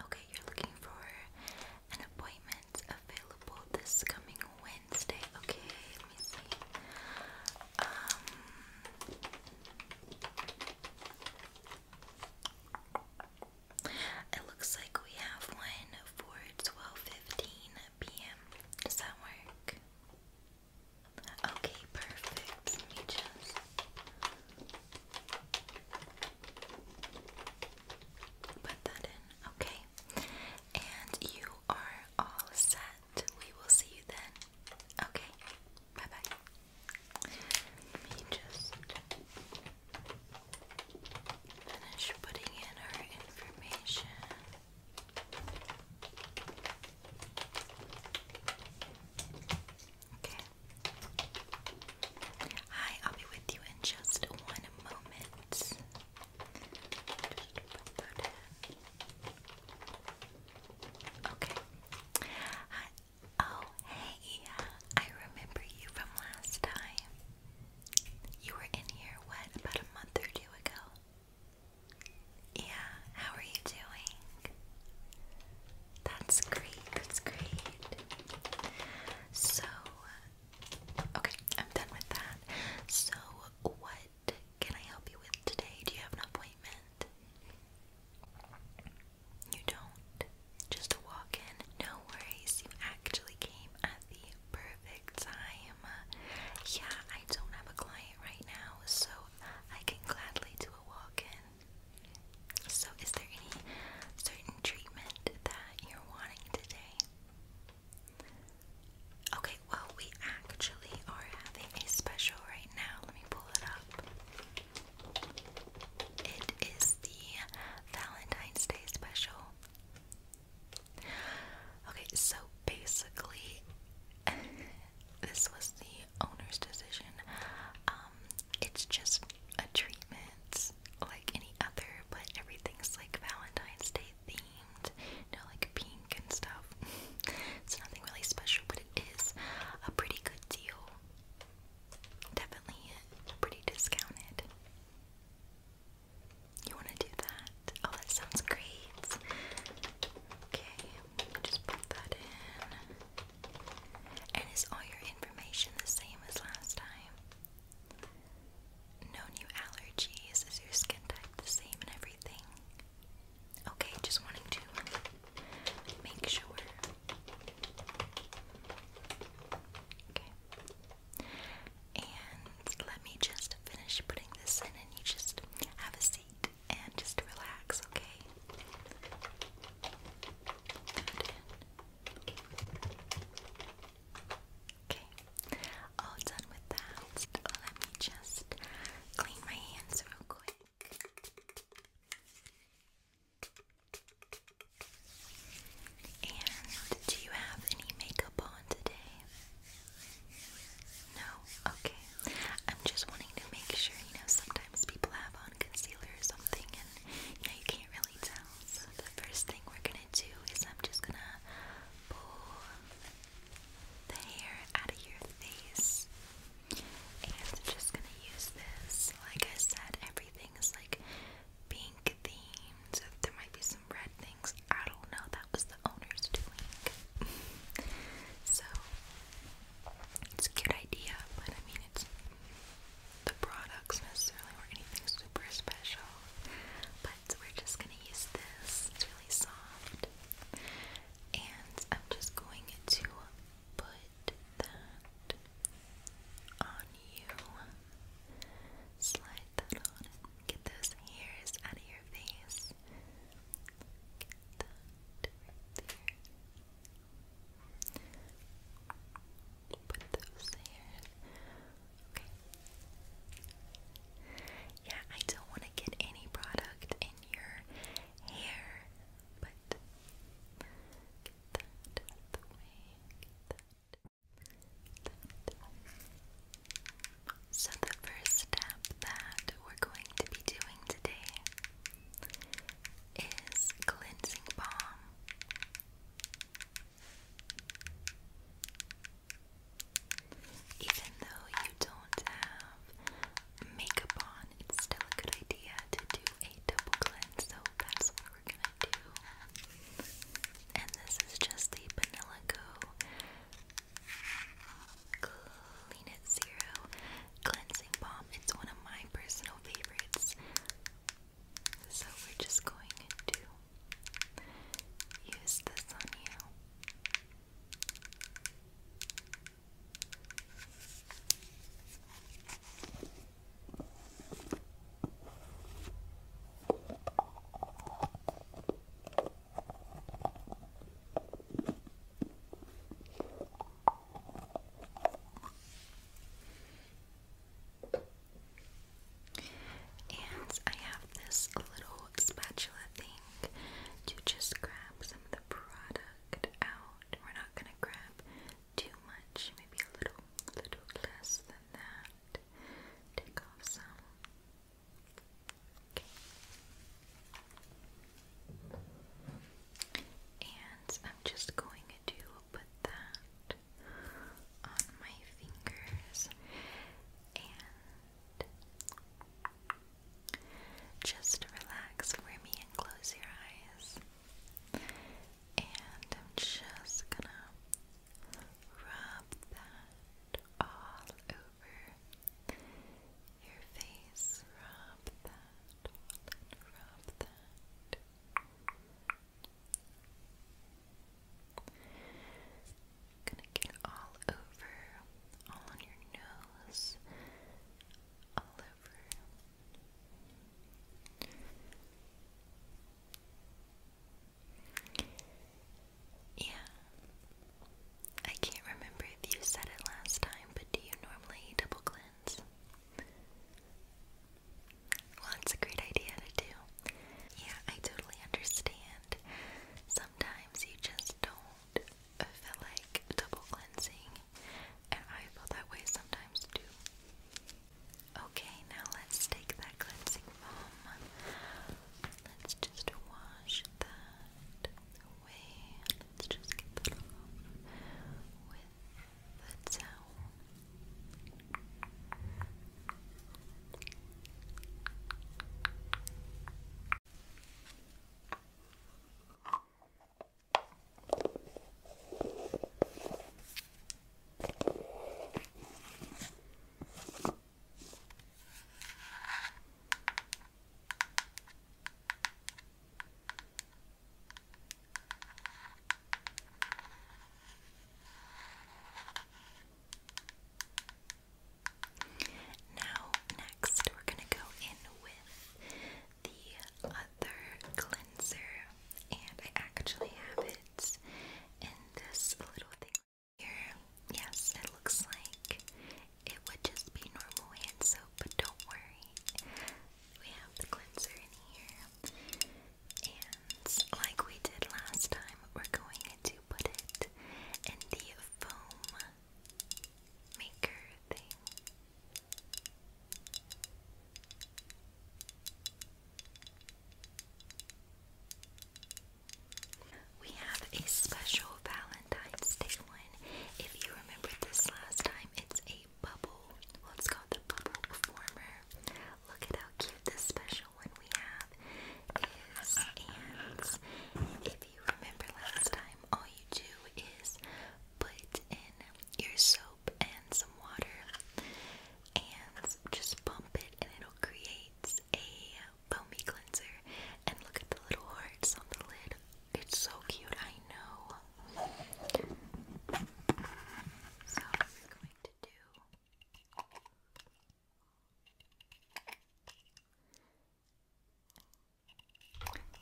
Okay, you're looking for an appointment available this coming Wednesday. Okay, let me see. Um, it looks like we have one for 12:15 p.m. Does that work? Okay, perfect. Let me just Put that in, okay. And you are all set. We will see you then. Okay, bye bye. Let me just finish putting in our information. Hi, I'll be with you in just one moment. Okay. Oh, hey. I remember you from last time. You were in here, what, about a month or two ago? Yeah, how are you doing? That's great. That's great. So, okay, I'm done with that. So, what can I help you with today? Do you have an appointment? You don't. Just a walk in. No worries. You actually came at the perfect time. Yeah, I don't have a client right now, so I can gladly do a walk in. So, is there any certain treatment that you're wanting today? Okay, well, we actually are having a special right now. Let me pull it up. It is the Valentine's Day special. Okay, so basically, this was the owner's decision. Um, um, it's just a treatment like any other, but everything's like Valentine's Day themed, you know, like pink and stuff. it's nothing really special, but it is a pretty good deal. Definitely pretty discounted. You want to do that? Oh, that sounds great. Okay, just put that in. And is all your information the same as last time? No new allergies? Is your skin type the same and everything? Okay, just wanting to make sure. Okay. And let me just finish putting this in, and you just have a seat and just relax, okay? Okay, all done with that. Let me just clean my hands real quick. And do you have any makeup on today? No? Okay. I'm just wanting to make sure, you know, sometimes people have on concealer or something skin, you know, you can't really tell. So the first thing we're gonna do is I'm just gonna pull the hair out of your face. And I'm just gonna use this. Like I said, everything is like pink themed. So there might be some red things. I don't know. That was the owner's doing. so it's a good idea, but I mean it's the products necessarily or anything super special, but we're just gonna use this. It's really soft, and I'm just going to put that on you. Slide that on get those hairs out of your face. Get that there. Put those there. Okay. Yeah, I don't want to get any product in your hair, but So the first step that we're going to be doing today is Cleansing Balm. Even though you don't have makeup on, it's still a good idea to do a double cleanse, so that's what we're gonna do. And this is just the Vanilla Clean It Zero cleansing balm. It's one of my personal favorites. So we're just going to use this on you. And I have this little spatula thing to just grab some of the product out. We're not gonna grab too much, maybe a little, little less than that. Take off some. And I'm just going to put that on my fingers and just relax for me and close your eyes. And I'm just gonna rub that all over your face. Rub that, rub that. I'm gonna get all over, all on your nose, all over. Yeah. I can't remember if you said it last time, but do you normally double cleanse? Well, it's a great idea to do. Yeah, I totally understand. Sometimes you just don't feel like double cleansing, and I feel that way sometimes too. Okay, now let's take that cleansing foam. Let's just wash that away. Let's just get that that's how. Now, next, we're going to go in with the other cleanser, and I actually have it in this little thing here. Yes, it looks like it would just be normal hand soap, but don't worry we have the cleanser in here. And like we did last time, we're going to put it in the foam maker thing. We have a special Valentine's Day one. If you remember this last time, it's a a bubble. Well, it's called the bubble former. Look at how cute this special one we have is. if you remember last time, all you do is put in your soap and some water and just bump it, and it'll create a foamy cleanser. And look at the little hearts on the lid. It's so cute, I know. So I'm going to do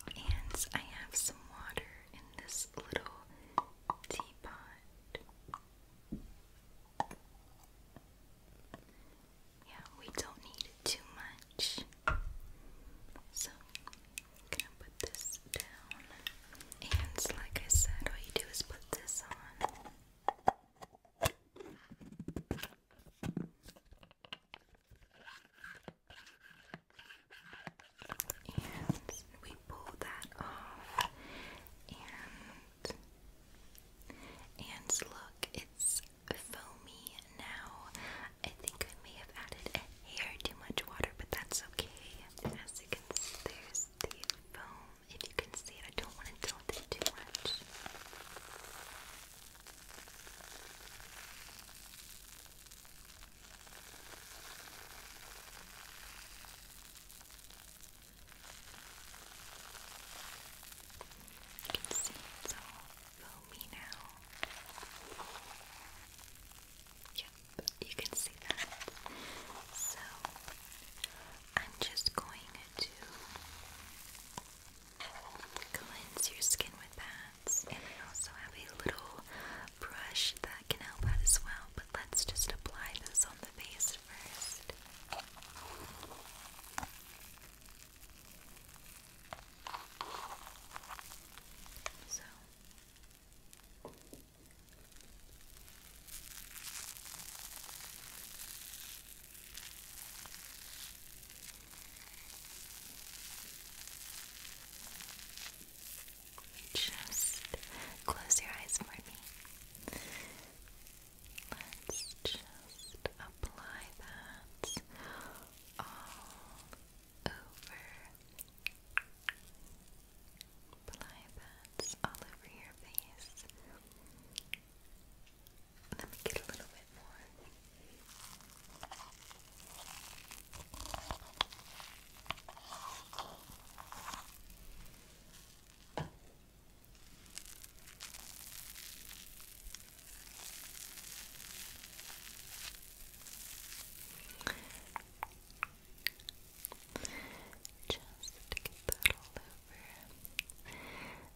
and I have some water in this little teapot. Yeah, we don't need too much. So gonna put this down. And like I said, all you do is put this on. And we pull that off. And and look, it's foamy now. I think I may have added a hair too much water, but that's okay. As you can see, there's the foam. If you can see it, I don't want to tilt it too much foamy now. Yep, you can see that. So I'm just going to cleanse your skin with that, and I also have a little brush that can help out as well. But let's just apply those on the face first just close your eyes for me. Let's just apply that over. Apply that all over your face. Let me get a little bit more. Just get that all over.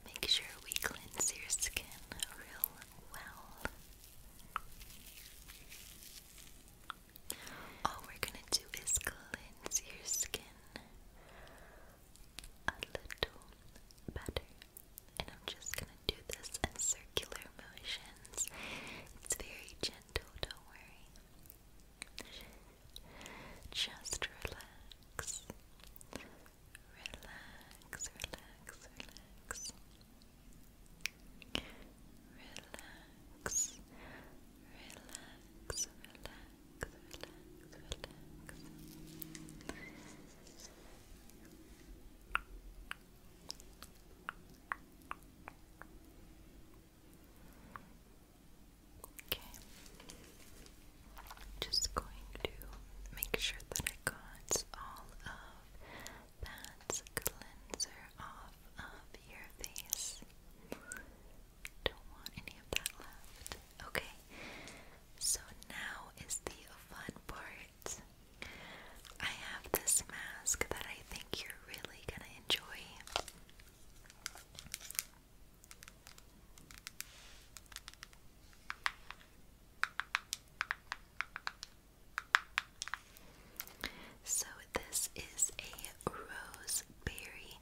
Make sure we cleanse your skin real well. All we're gonna do is cleanse your skin a little better. And I'm just gonna do this in circular motions. It's very gentle, don't worry. Just relax. Relax, relax, relax. Relax, relax, relax, relax, Okay. Just going to make sure that I got all of that cleanser off of your face. Don't want any of that left. Okay. So now is the fun part. I have this mask that I think you're really gonna enjoy. So, this is a roseberry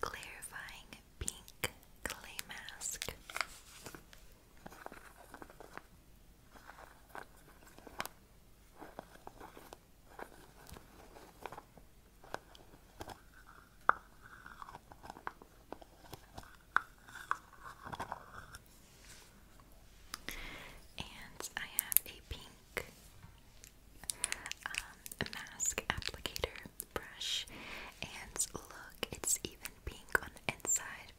clarifying pink clay mask. And I have a pink um, mask applicator brush. And look, it's even and pink on the inside,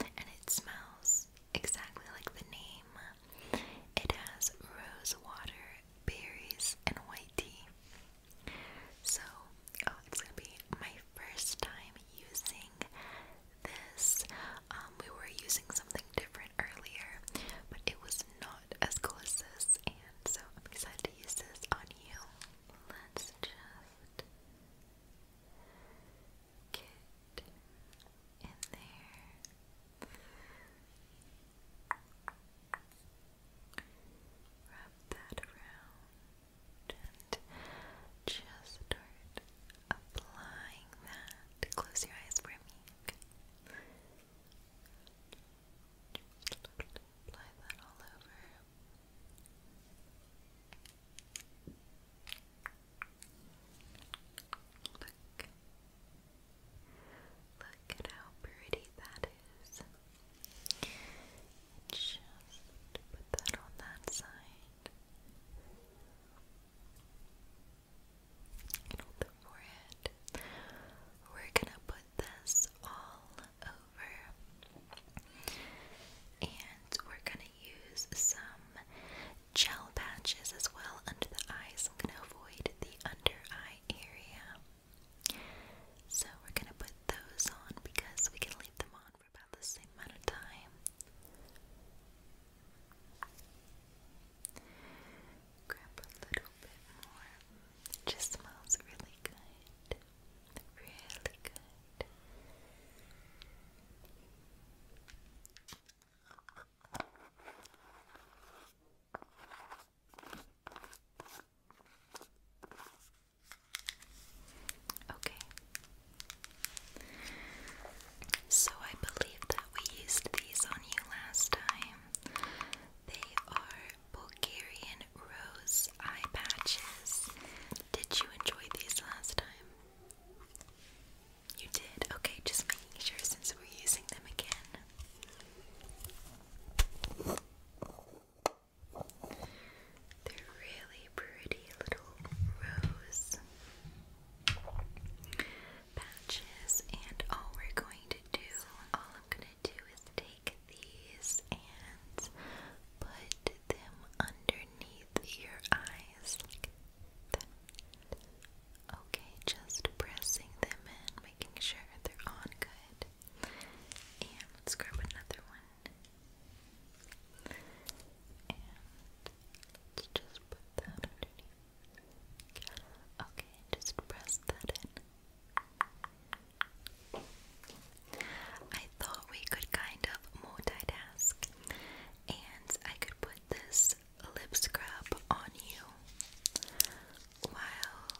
and it smells exactly like the name. It has rose water, berries, and white tea. So, oh, it's gonna be my first time using this. Um, we were using something different earlier, but it was not as cool as this, and so I'm excited to use this on you. Let's just get in there. Wrap that around just start applying that. Close your eyes for me. apply that all over. Look. Look at how pretty that is. Just put that on that side. And on the forehead. We're gonna put this all over. And we're gonna use some gel patches as well under the eyes. I'm going to avoid the under eye area. So we're going to put those on because we can leave them on for about the same amount of time. Grab a little bit more. It just smells really good. Really good. Okay. So I believe that we used these on you last time. They are Bulgarian Rose eye patches. Did you enjoy these last time? You did? Okay, just making sure since we're using them again. They're really pretty little rose patches, and all we're going to do, all I'm going to do is take these and put them underneath your eyes Okay, just pressing them in, making sure they're on good. And let's grab another one. And let's just put that underneath. Okay, just press that in. I thought we could kind of multitask and I could put this lip scrub on you while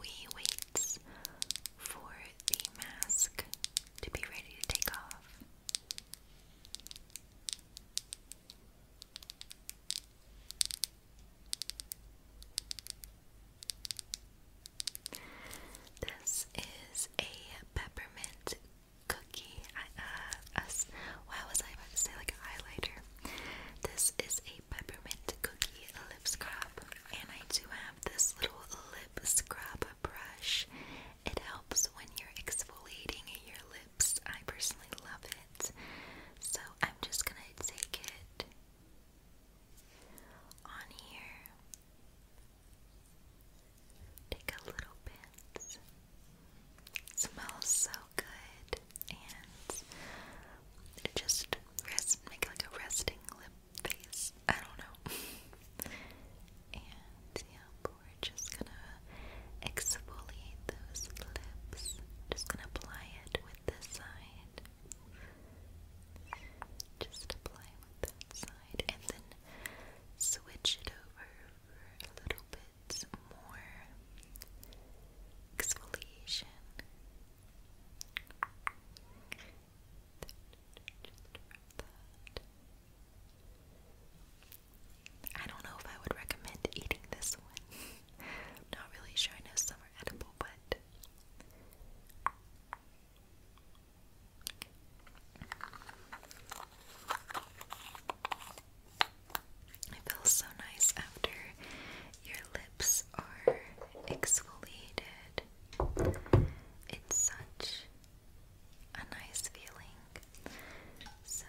we wait for the mask to be ready to take off. This is a peppermint cookie. uh, us. was I about to say like a highlighter? This is a peppermint cookie lip scrub, and I do have this little lip scrub brush. It helps when you're exfoliating your lips. I personally love it, so I'm just gonna take it on here Take a little bit. smells so good, and just rest, make like a resting lip face. I don't know. and yeah, we're just gonna exfoliate those lips. Just gonna apply it with this side. Just apply that side and then switch it over for a little bit more exfoliation. I don't know if I would recommend eating this one. not really sure. I know some are edible, but it feels so nice after your lips are exfoliated. It's such a nice feeling. So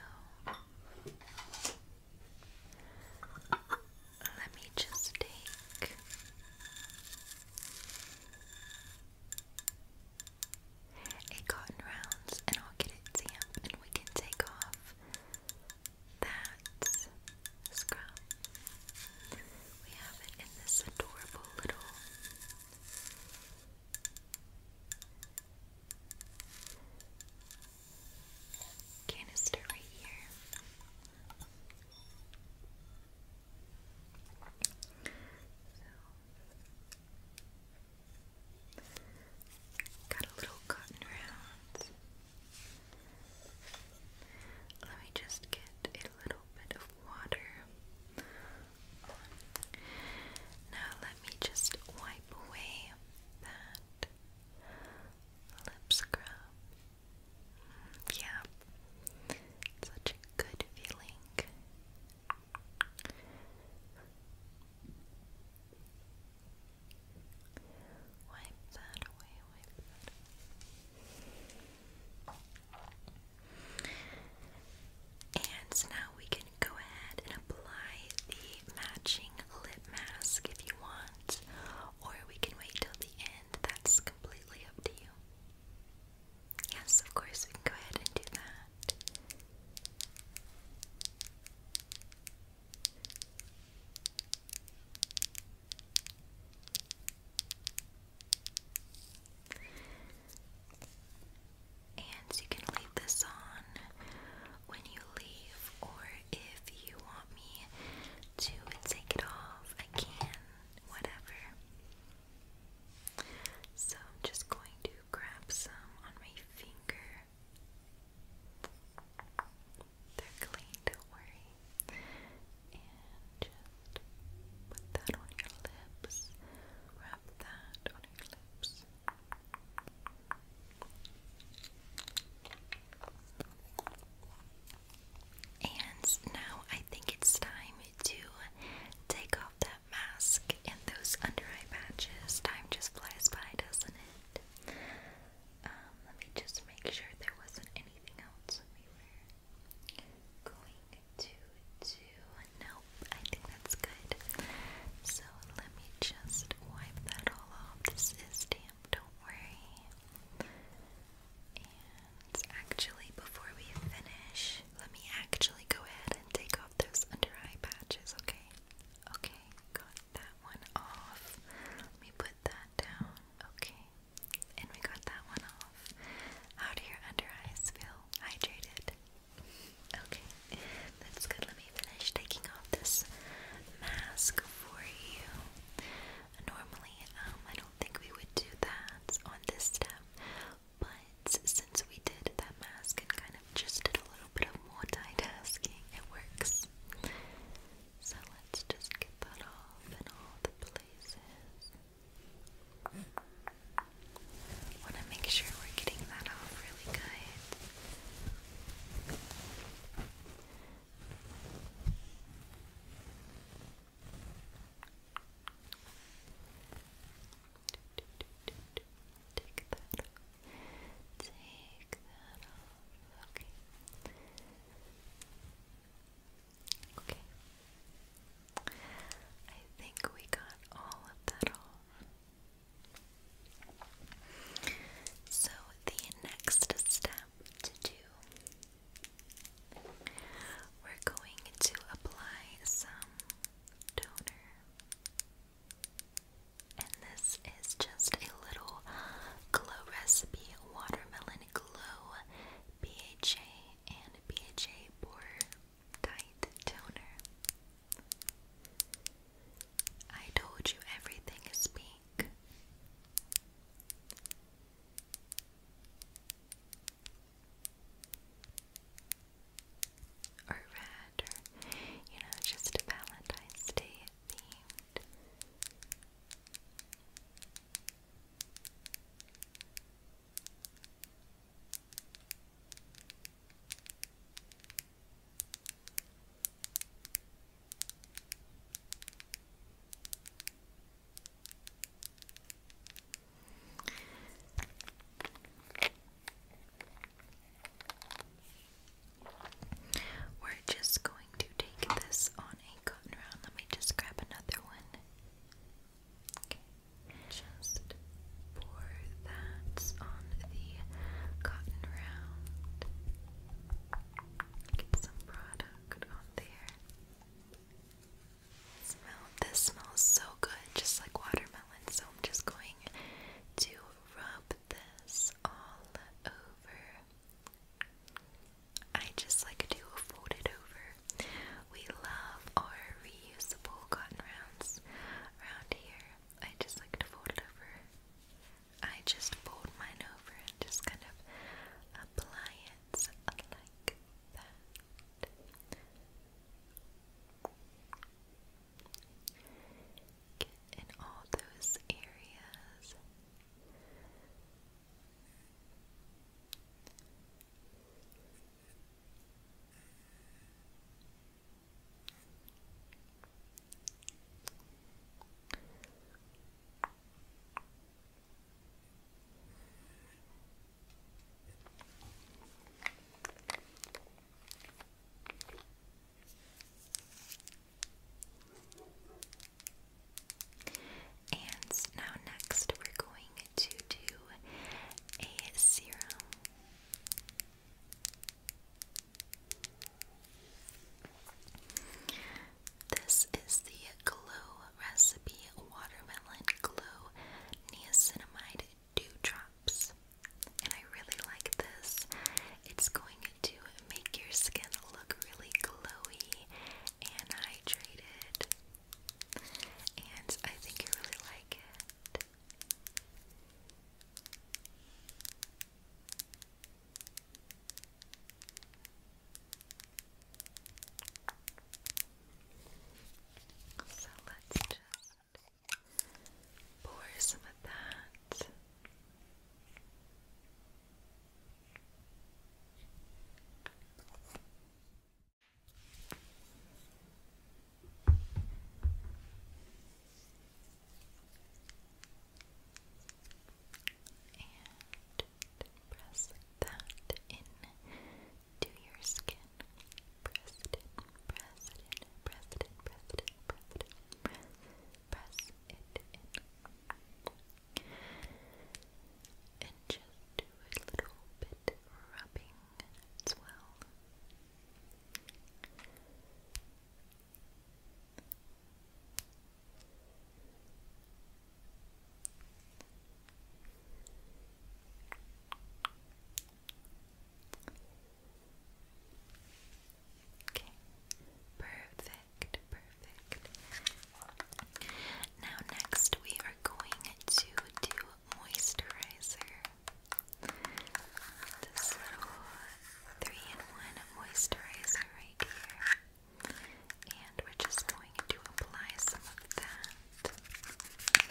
let me just take a cotton rounds, and I'll get it damp, and we can take off that scrub. We have it in this adorable little canister right here. So, got a little cotton round. Let me just get a little bit of water Now, let me just wipe away that lip scrub yeah. such a good feeling. Wipe that away, wipe that And so now we can go ahead and apply the matching lip mask if you want, or we can wait till the end. That's completely up to you. Yes, of course, we can go ahead and do that. And you can leave this on when you leave, or if you want me to take it off, I can whatever. So I'm just going to grab some on my finger. They're clean, don't worry. And just put that on your lips. Wrap that on your lips. And now I think it's time to take off that mask and those under eye patches. Time just flies by, doesn't it? Um, let me just make sure there wasn't anything else going to do. Nope, I think that's good. So let me just wipe that all off. This is damp, don't worry. And actually, before we finish, let me actually go ahead and take off those under eye patches, okay? Okay, got that one off. Let me put that down, okay? And we got that one off. How do your under eyes feel? Hydrated? Okay, that's good. Let me finish taking off this mask for you. Normally, um, I don't think we would do that on this step, but since we did that mask and kind of just did a little bit of multitasking, it works. So let's just get that off in all the places. Want to make sure we're getting that off really good. Take that Take that off. Okay. Okay. I think we got all of that off. So the next step to do we're going to apply some toner. And this is just a little glow recipe watermelon glow BHA and BHA pore tight toner. I told you everything is pink or or you know, just Valentine's Day themed. We're just going to take this on a cotton round. Let me just grab another one. Just pour that on the cotton round. Get some product on there. Smell, this smells so good, just like watermelon. So I'm just going to rub this all over. I just like to fold it over. We love our reusable cotton rounds around here. I just like to fold it over. I just fold mine over and just kind of apply it. It's like that. Get in all those areas. Good. And now, next, we're going to do a serum. This is the Glue Recipe Watermelon Glue Niacinamide Drops, And I really like this. It's going to make your skin look really glowy and hydrated. And I think you really like it. So let's just pour some of that press that in your skin. Press it press it press it press it press it press, it And just do a little bit rubbing as well. Okay. Perfect. Perfect. Now next we are going to do moisturizer. This little three in one moisturizer right here. And we're just going to apply some of that.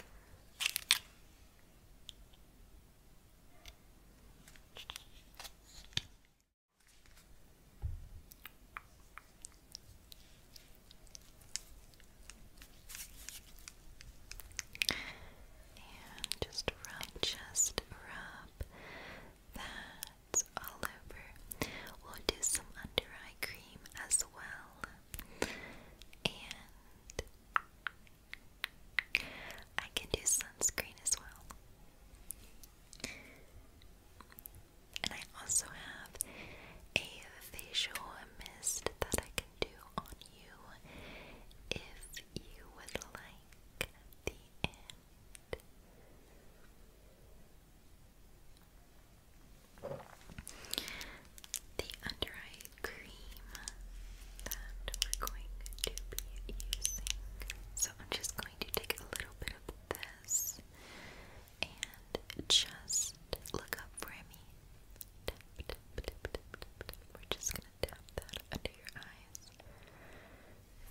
And just rub, just rub, that's all over. We'll do some under eye cream as well. And I can do sunscreen as well. And I also have a facial mist that I can do on you if you would like the the under eye cream that we're going to be using. So I'm just going to take a little bit of this and just look up for me. We're just going to tap that under your eyes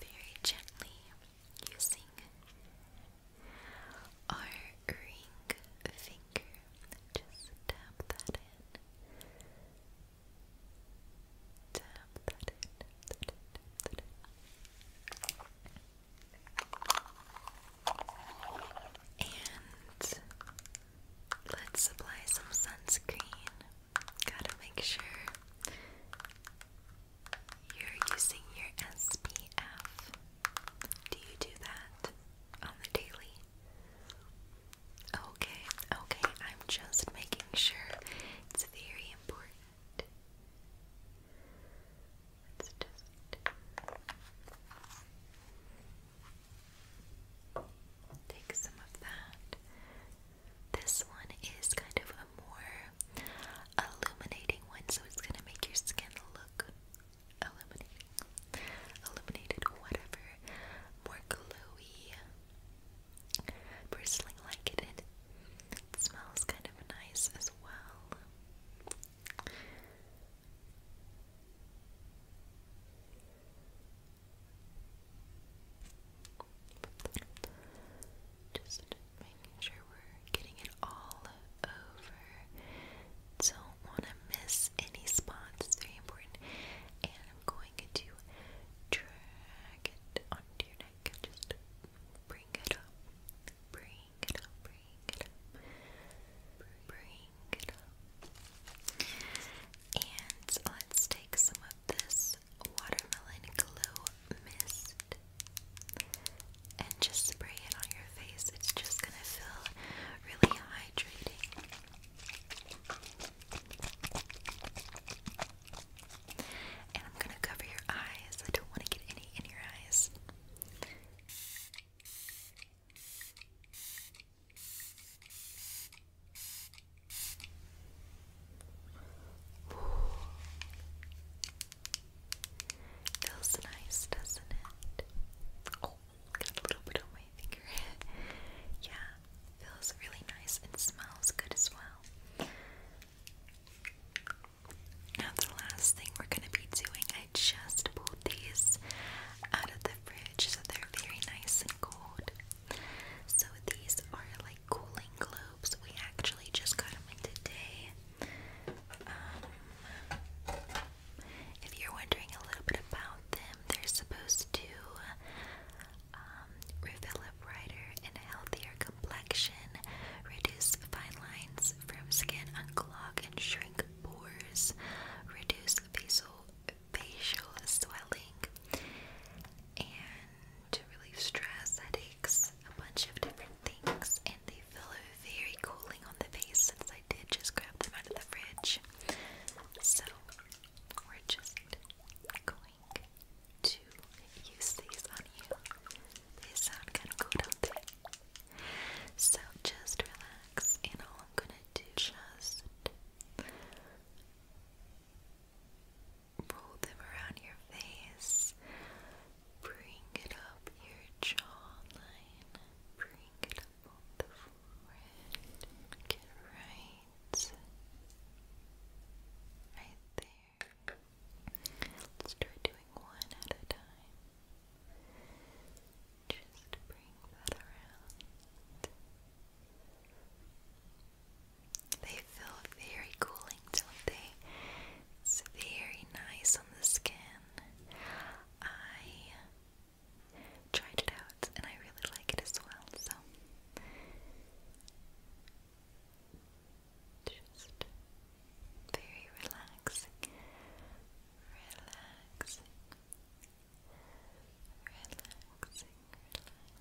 very gently using our ring finger. Just tap that in. Tap that in. Tap that in, And let's apply some sunscreen. Gotta make sure you're using your SPF. Do you do that on the daily? Okay, okay, I'm just making sure it's very important. Let's just take some of that. This one is kind of a more illuminating one, so it's gonna make your skin look illuminating, illuminated, whatever, more glowy, bristling like it. It smells kind of nice as well. Just making sure we're getting it all over. Don't want to miss any spots, it's very important. And I'm going to drag it onto your neck. Just bring it up. Bring it up, bring it up. Bring it up. And let's take some of this watermelon glow mist and just spray it on your face. It's just gonna feel really hydrating. And I'm gonna cover your eyes. I don't want to get any in your eyes. Feels nice, doesn't it? Oh, a little bit on my finger. yeah, feels really nice and smells good as well. Now, the last thing we're going to be doing, I just pulled these out of the fridge so they're very nice and cold. So, these are like cooling glue we actually just got them in today. Um, if you're wondering a little bit about them, they're supposed to um, brighter and healthier complexion, reduce fine lines from skin, unclog and shrink pores, reduce facial facial swelling, and to relieve stress, headaches, a bunch of different things and they feel very cooling on the face since I did just grab them out of the fridge. So we're just going to use these on you. They sound kind of cool, don't they? So just relax and all I'm gonna do just roll them around your face. Bring it up your jawline. Bring it up on the forehead. Get right. Right there. Let's try doing one at a time. Just bring that around. They feel very cooling, don't they? It's very nice on the skin. I tried it out and I really like it as well, so very relaxing, relaxing, relaxing,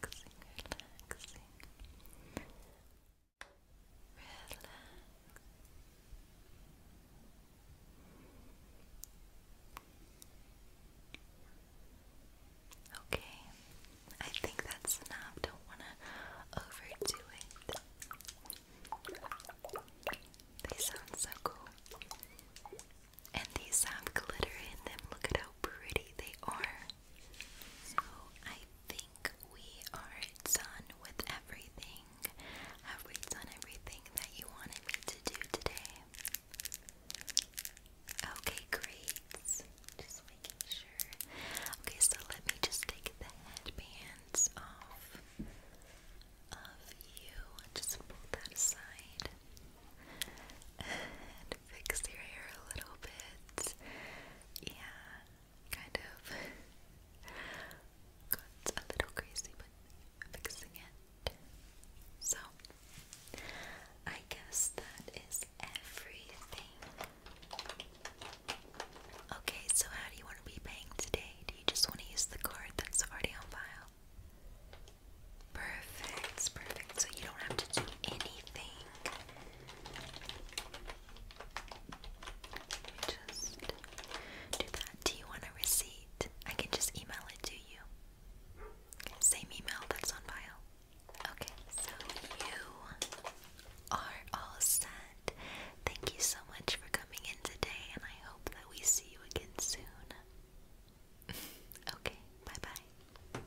relaxing, relaxing. Okay, I think that's enough. Don't want to overdo it. They sound so cool. And these have glitter in them. Look at how pretty they are. So I think we are done with everything. Have we done everything that you wanted me to do today? Okay, great. Just making sure. Okay, so let me just take the headbands off of you. Just pull that aside. fix your hair a little bit. Yeah, kind of got a little crazy, but fixing it. So, I guess that is everything. Okay, so how do you want to be paying today? Do you just want to use the card that's already on file? Perfect, perfect. So you don't have to do anything just do that. Do you want a receipt? I can just email it to you. Same email that's on file. Okay, so you are all set. Thank you so much for coming in today, and I hope that we see you again soon. okay, bye bye.